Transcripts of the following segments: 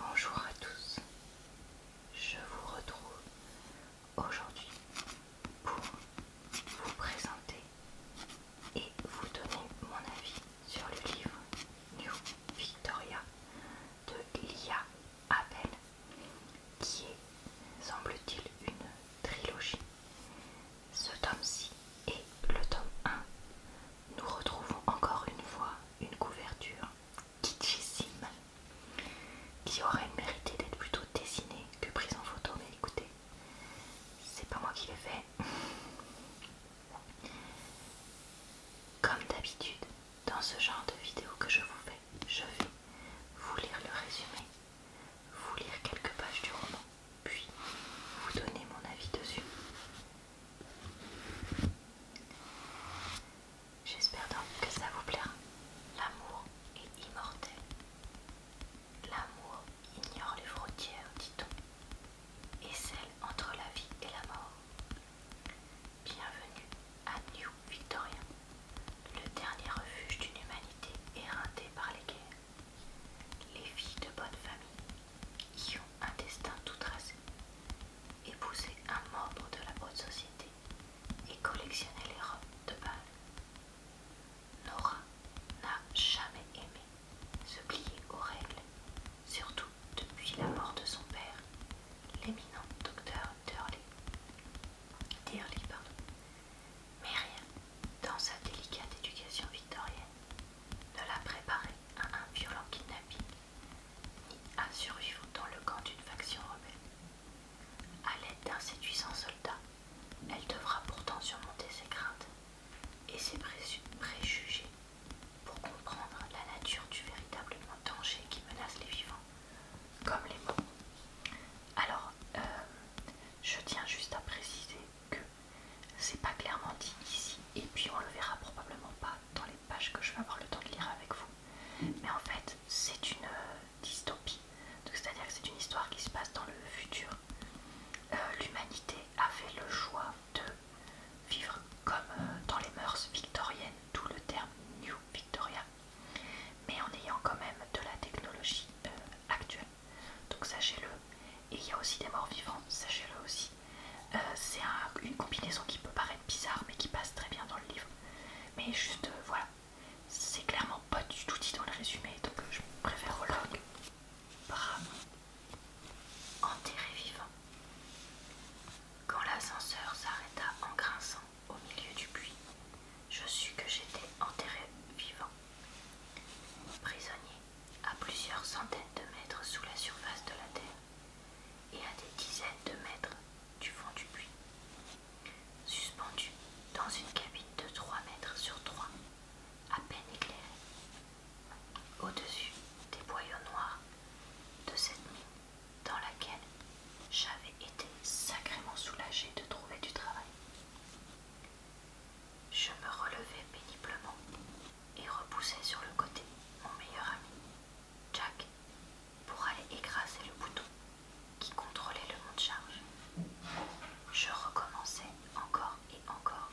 Bonjour à tous, je vous retrouve aujourd'hui pour vous présenter et vous donner mon avis sur le livre New Victoria de Lia Abel qui est, semble-t-il, une trilogie. Ce tome-ci est le tome 1 nous retrouvons encore une fois une couverture kitschissime qui aurait mérité d'être plutôt dessinée que prise en photo, mais écoutez, c'est pas moi qui l'ai fait. Comme d'habitude, dans ce genre de vidéo que je vous fais, je vais vous lire le résumé, vous lire quelques pages du roman, puis vous donner mon avis dessus. J'espère donc que ça vous plaira. L'amour est immortel. L'amour ignore les frontières, dit-on, et celle entre la vie et la mort. Bienvenue à New Victoria, le dernier refuge d'une humanité éreintée par les guerres. Les filles de bonne famille y ont un destin tout tracé, épouser un membre de la haute société et collectionner les robes de bal. Nora n'a jamais aimé se plier aux règles, surtout depuis la mort de son père, l'éminent docteur Dirley. pardon. Mais rien dans sa délicate éducation victorienne ne l'a préparée à un violent kidnapping ni à survivre dans le camp d'une faction rebelle. À l'aide d'un séduisant soldat, elle devra pourtant surmonter ses craintes et ses préjugés pour comprendre la nature du véritable danger qui menace les vivants, comme les morts. Alors, euh, je tiens juste à préciser que c'est pas clairement dit ici et puis on le verra probablement pas dans les pages que je vais avoir le temps de lire avec vous. Mais en fait, c'est une euh, dystopie, c'est-à-dire que c'est une histoire qui se passe dans le futur. Euh, l'humanité a fait le choix de vivre comme euh, dans les mœurs victoriennes, d'où le terme New Victoria, mais en ayant quand même de la technologie actuelle. Donc sachez-le, et il y a aussi des morts vivants, sachez-le aussi. Euh, c'est une combinaison qui peut paraître bizarre mais qui passe très bien dans le livre. Mais juste euh, voilà, c'est clairement pas du tout dit dans le résumé donc euh, je préfère log. Bravo. Enterré vivant. Quand l'ascenseur s'arrêta en grinçant au milieu du puits, je sus que j'étais enterré vivant. Prisonnier à plusieurs centaines de mètres sous la surface de la Terre et à des dizaines de mètres du fond du puits. Suspendu dans une cabine de 3 mètres sur 3, à peine éclairée. Au-dessus des boyaux noirs de cette nuit dans laquelle j'avais été sacrément soulagée de trouver du travail. Je me relevais péniblement et repoussai sur le côté mon meilleur ami, Jack, pour aller écraser le bouton qui contrôlait le mont de charge Je recommençais encore et encore,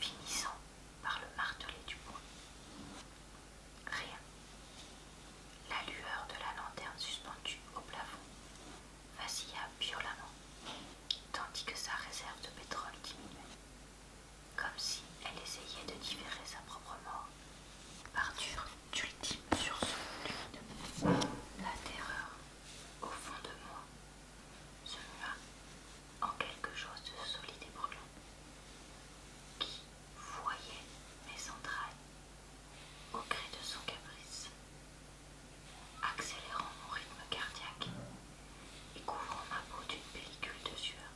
finissant par le marteler du poing. Rien. La lueur de la lanterne suspendue au plafond vacilla violemment, tandis que sa réserve de pétrole diminuait comme si elle essayait de différer sa propre mort. Arthur ultime sur son La terreur, au fond de moi, se mua en quelque chose de solide et brûlant, qui voyait mes entrailles au gré de son caprice, accélérant mon rythme cardiaque et couvrant ma peau d'une pellicule de sueur.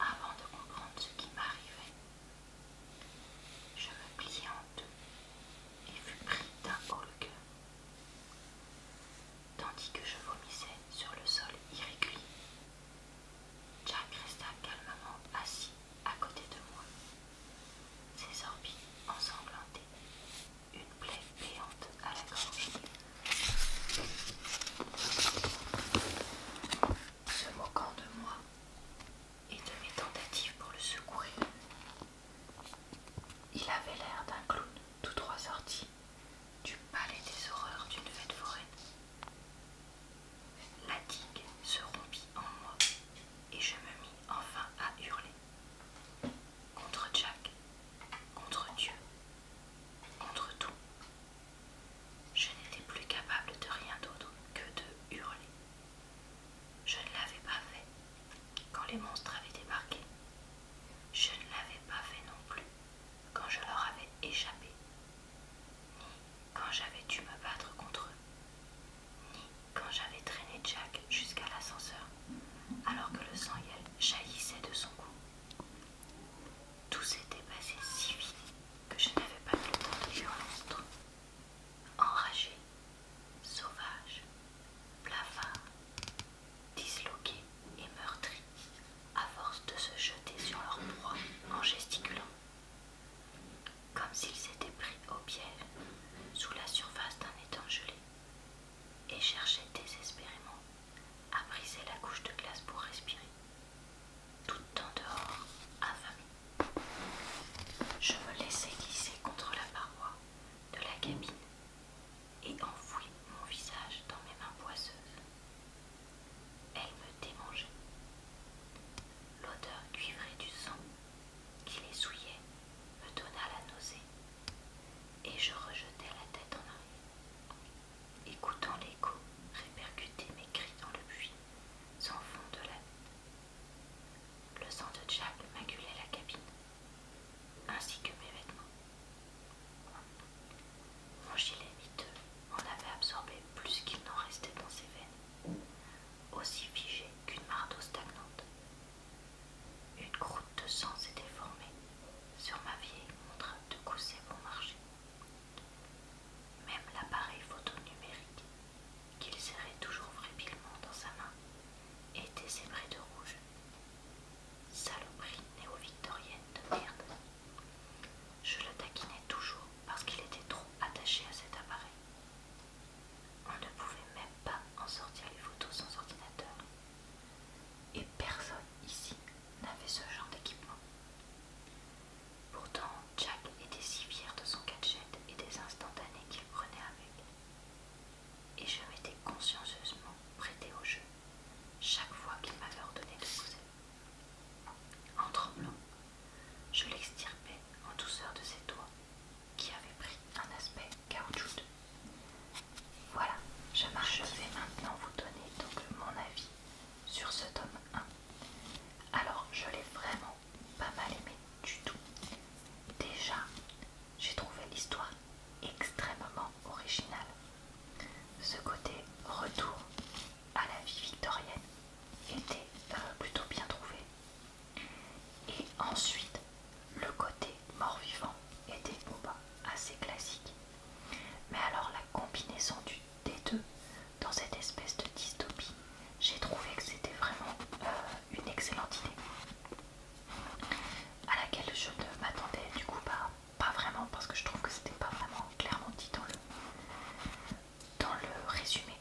Avant de comprendre ce qui m'arrivait, je me pliai en deux et fus pris d'un haut le cœur, tandis que je vomissais sur le sol irrégulier. Jack resta calmement assis à côté de moi, ses orbites ensanglantées une plaie béante à la gorge. Se moquant de moi et de mes tentatives pour le secourir, il avait l'air d'un clown tout droit sorti du palais des horreurs d'une fête foraine. La digue se rompit en moi et je me mis enfin à hurler. Contre Jack, contre Dieu Contre tout, je n'étais plus capable de rien d'autre que de hurler. Je ne l'avais pas fait quand les monstres avaient débarqué. Je ne l'avais pas fait non plus quand je leur avais échappé, ni quand j'avais dû me battre contre eux, ni quand j'avais traîné Jack jusqu'à l'ascenseur alors que le sang jaillissait de son cou. Tout s'était passé si vite que je n'avais pas le temps de Enragé, sauvage, blafard, disloqué et meurtri, à force de se jeter sur leur proie en gesticulant. Comme s'ils s'étaient pris au piège sous la surface d'un étang gelé et cherchaient désespérément à briser la couche de glace pour respirer, tout en dehors, affamée. Je me laissai glisser contre la paroi de la cabine et enfouis mon visage dans mes mains poisseuses. Elle me démangeait. L'odeur cuivrée du sang qui les souillait me donna la nausée et je rejetai la tête en arrière, écoutant l'écho répercuter mes cris dans le puits sans fond de la Le sang de Jack maculait la cabine, ainsi que mes vêtements. Mon gilet miteux en avait absorbé plus qu'il n'en restait dans ses veines, aussi figé qu'une marteau stagnante. Une croûte de sang s'était formée sur ma vieille montre de cousser pour marcher. Même l'appareil photo numérique qu'il serrait toujours fragilement dans sa main était zébré de rouge. Saloperie néo-victorienne de merde. Je le taquinais toujours parce qu'il était trop attaché à cet appareil. On ne pouvait même pas en sortir les photos sans ordinateur. Et personne ici n'avait ce genre d'équipement. Pourtant, Jack était si fier de son gadget et des instantanés qu'il prenait avec. Et je m'étais consciencieusement prêtée au jeu, chaque fois qu'il m'avait ordonné de poser. En tremblant, je l'extirpais en douceur de ses doigts, qui avaient pris un aspect caoutchouteux. Voilà, je, vais maintenant vous donner donc mon avis sur ce tome 1. Alors, je l'ai vraiment pas mal aimé du tout. Déjà, j'ai trouvé l'histoire extrêmement originale. Ce côté retour à la vie victorienne était euh, plutôt bien trouvé. Et ensuite, le côté mort-vivant était bon, bah, assez classique. Mais alors la combinaison du, des deux dans cette espèce de dystopie, j'ai trouvé que c'était vraiment euh, une excellente idée à laquelle je ne m'attendais du coup pas, pas vraiment parce que je trouve que c'était pas vraiment clairement dit dans le, résumé.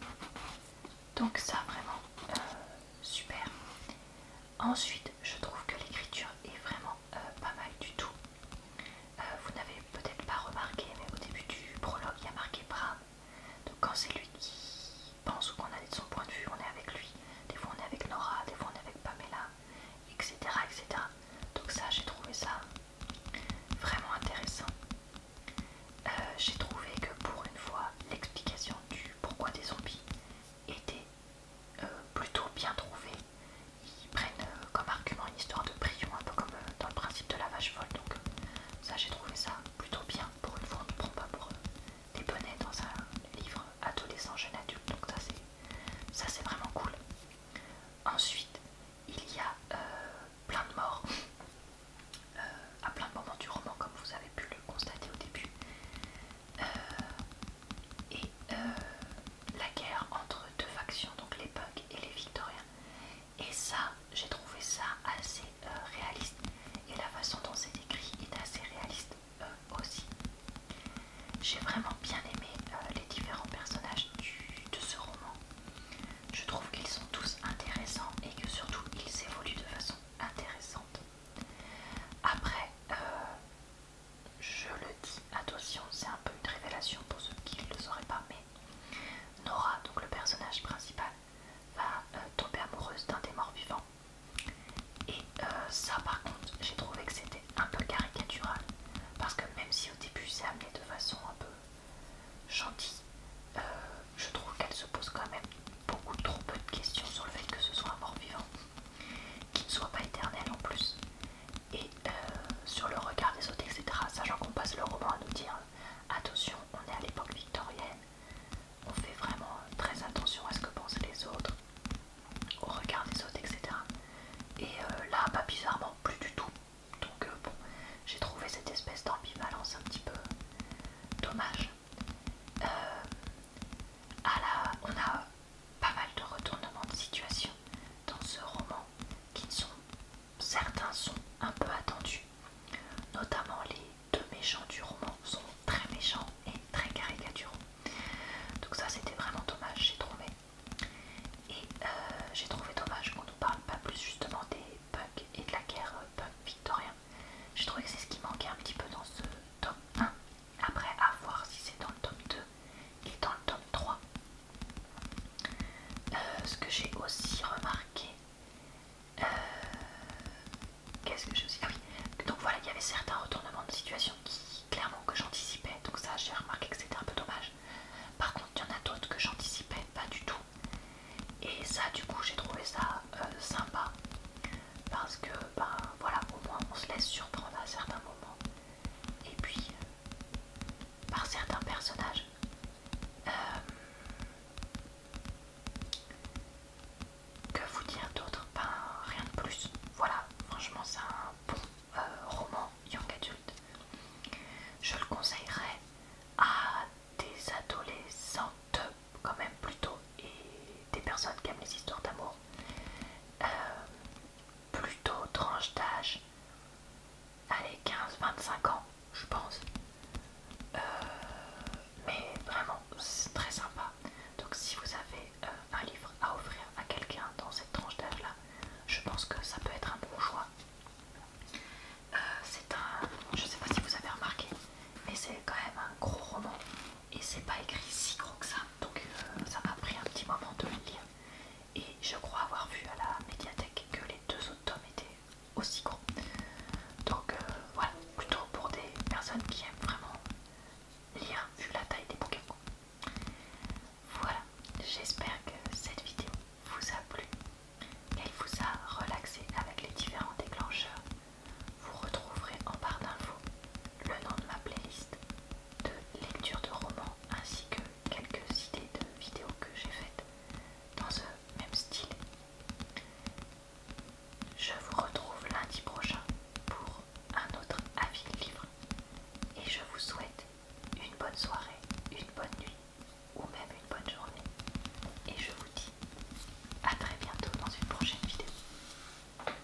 Donc ça vraiment euh, super. Ensuite, je trouve que l'écriture est vraiment euh, pas mal du tout. Euh, vous n'avez peut-être pas remarqué, mais au début du prologue, il y a marqué Bram. Donc quand c'est lui qui pense ou qu'on a de son point de vue, on est avec lui. Des fois on est avec Nora, des fois on est avec Pamela, etc. etc. Donc ça, j'ai trouvé ça vraiment intéressant. Euh, j'ai trouvé que pour une fois, l'explication du pourquoi des zombies était euh, plutôt bien trouvés. Ils prennent euh, comme argument une histoire de prion, un peu comme euh, dans le principe de la vache folle. Donc ça, j'ai trouvé ça plutôt bien. Pour une fois, on ne prend pas pour des bonnets dans un livre adolescent, jeune adulte. Donc ça, c'est ça c'est vraiment cool. Ensuite, il y a plein de morts à plein de moments du roman, comme vous avez pu le constater au début. Euh, et euh, la guerre entre deux factions, donc les punks et les victoriens. Et ça, j'ai trouvé ça assez euh, réaliste. Et la façon dont c'est écrit est assez réaliste aussi. J'ai vraiment bien aimé les différents personnages de ce roman. Je trouve qu'ils sont tous intéressants et que surtout ils évoluent de façon intéressante. Après, je le dis, attention, c'est un peu une révélation pour ceux qui ne le sauraient pas, mais Nora, donc le personnage principal, va euh, tomber amoureuse d'un des morts vivants. Et euh, ça, par contre, j'ai trouvé que c'était un peu caricatural, parce que même si au début c'est amené de façon un peu gentille, euh, je trouve qu'elle se pose quand même beaucoup trop peu de questions sur le fait que ce soit un mort vivant qui ne soit pas éternel en plus. Et euh, sur le regard des autres, etc. Sachant qu'on passe le roman à nous dire euh, attention, on est à l'époque victorienne, on fait vraiment euh, très attention à ce que pensent les autres, au regard des autres, etc. Et là, pas bizarrement, plus du tout. Donc bon, j'ai trouvé cette espèce d'ambivalence un petit peu dommage. ah là on a pas mal de retournements de situation dans ce roman qui ne sont certains sont un peu attendus. Notamment les deux méchants du roman sont très méchants et très caricaturaux. Donc ça c'était vraiment dommage, j'ai trouvé. Et euh, j'ai trouvé dommage qu'on ne parle pas plus justement des punks et de la guerre euh, punk victorien. J'ai trouvé que c'est ce qui manquait un petit peu dans ce tome 1. Après, à voir si c'est dans le tome 2 et dans le tome 3. Euh, ce que j'ai aussi remarqué, euh, qu'est-ce que j'ai aussi. Ah oui, donc voilà, il y avait certains retournements de situation qui, clairement, que j'anticipais. Donc, ça, j'ai remarqué que c'était un peu dommage. Par contre, il y en a d'autres que j'anticipais pas du tout. Et ça, du coup, j'ai trouvé ça euh, sympa parce que ben voilà au moins on se laisse surprendre à certains moments et puis par certains personnages euh, que vous dire d'autre ben rien de plus voilà franchement c'est un bon euh, roman young adult. je le conseillerais à des adolescentes quand même plutôt et des personnes qui aiment les histoires d'amour euh, plutôt tranche d'âge, allez 15-25 ans je pense, euh, mais vraiment c'est très sympa. Donc si vous avez euh, un livre à offrir à quelqu'un dans cette tranche d'âge là, je pense que ça peut être un bon choix. c'est un, je sais pas si vous avez remarqué, mais c'est quand même un gros roman et c'est pas écrit si gros que ça donc euh, ça m'a pris un petit moment de le lire et je crois avoir vu à la médiathèque que les deux autres tomes étaient aussi gros donc euh, voilà plutôt pour des personnes qui aiment vraiment lire vu la taille des bouquins voilà j'espère que cette vidéo vous a plu qu'elle vous a relaxé avec les différents déclencheurs vous retrouverez en barre d'infos le nom de ma playlist de lecture de romans ainsi que quelques idées de vidéos que j'ai faites dans ce même style. Je vous retrouve lundi prochain pour un autre avis livre et je vous souhaite une bonne soirée, une bonne nuit ou même une bonne journée et je vous dis à très bientôt dans une prochaine vidéo.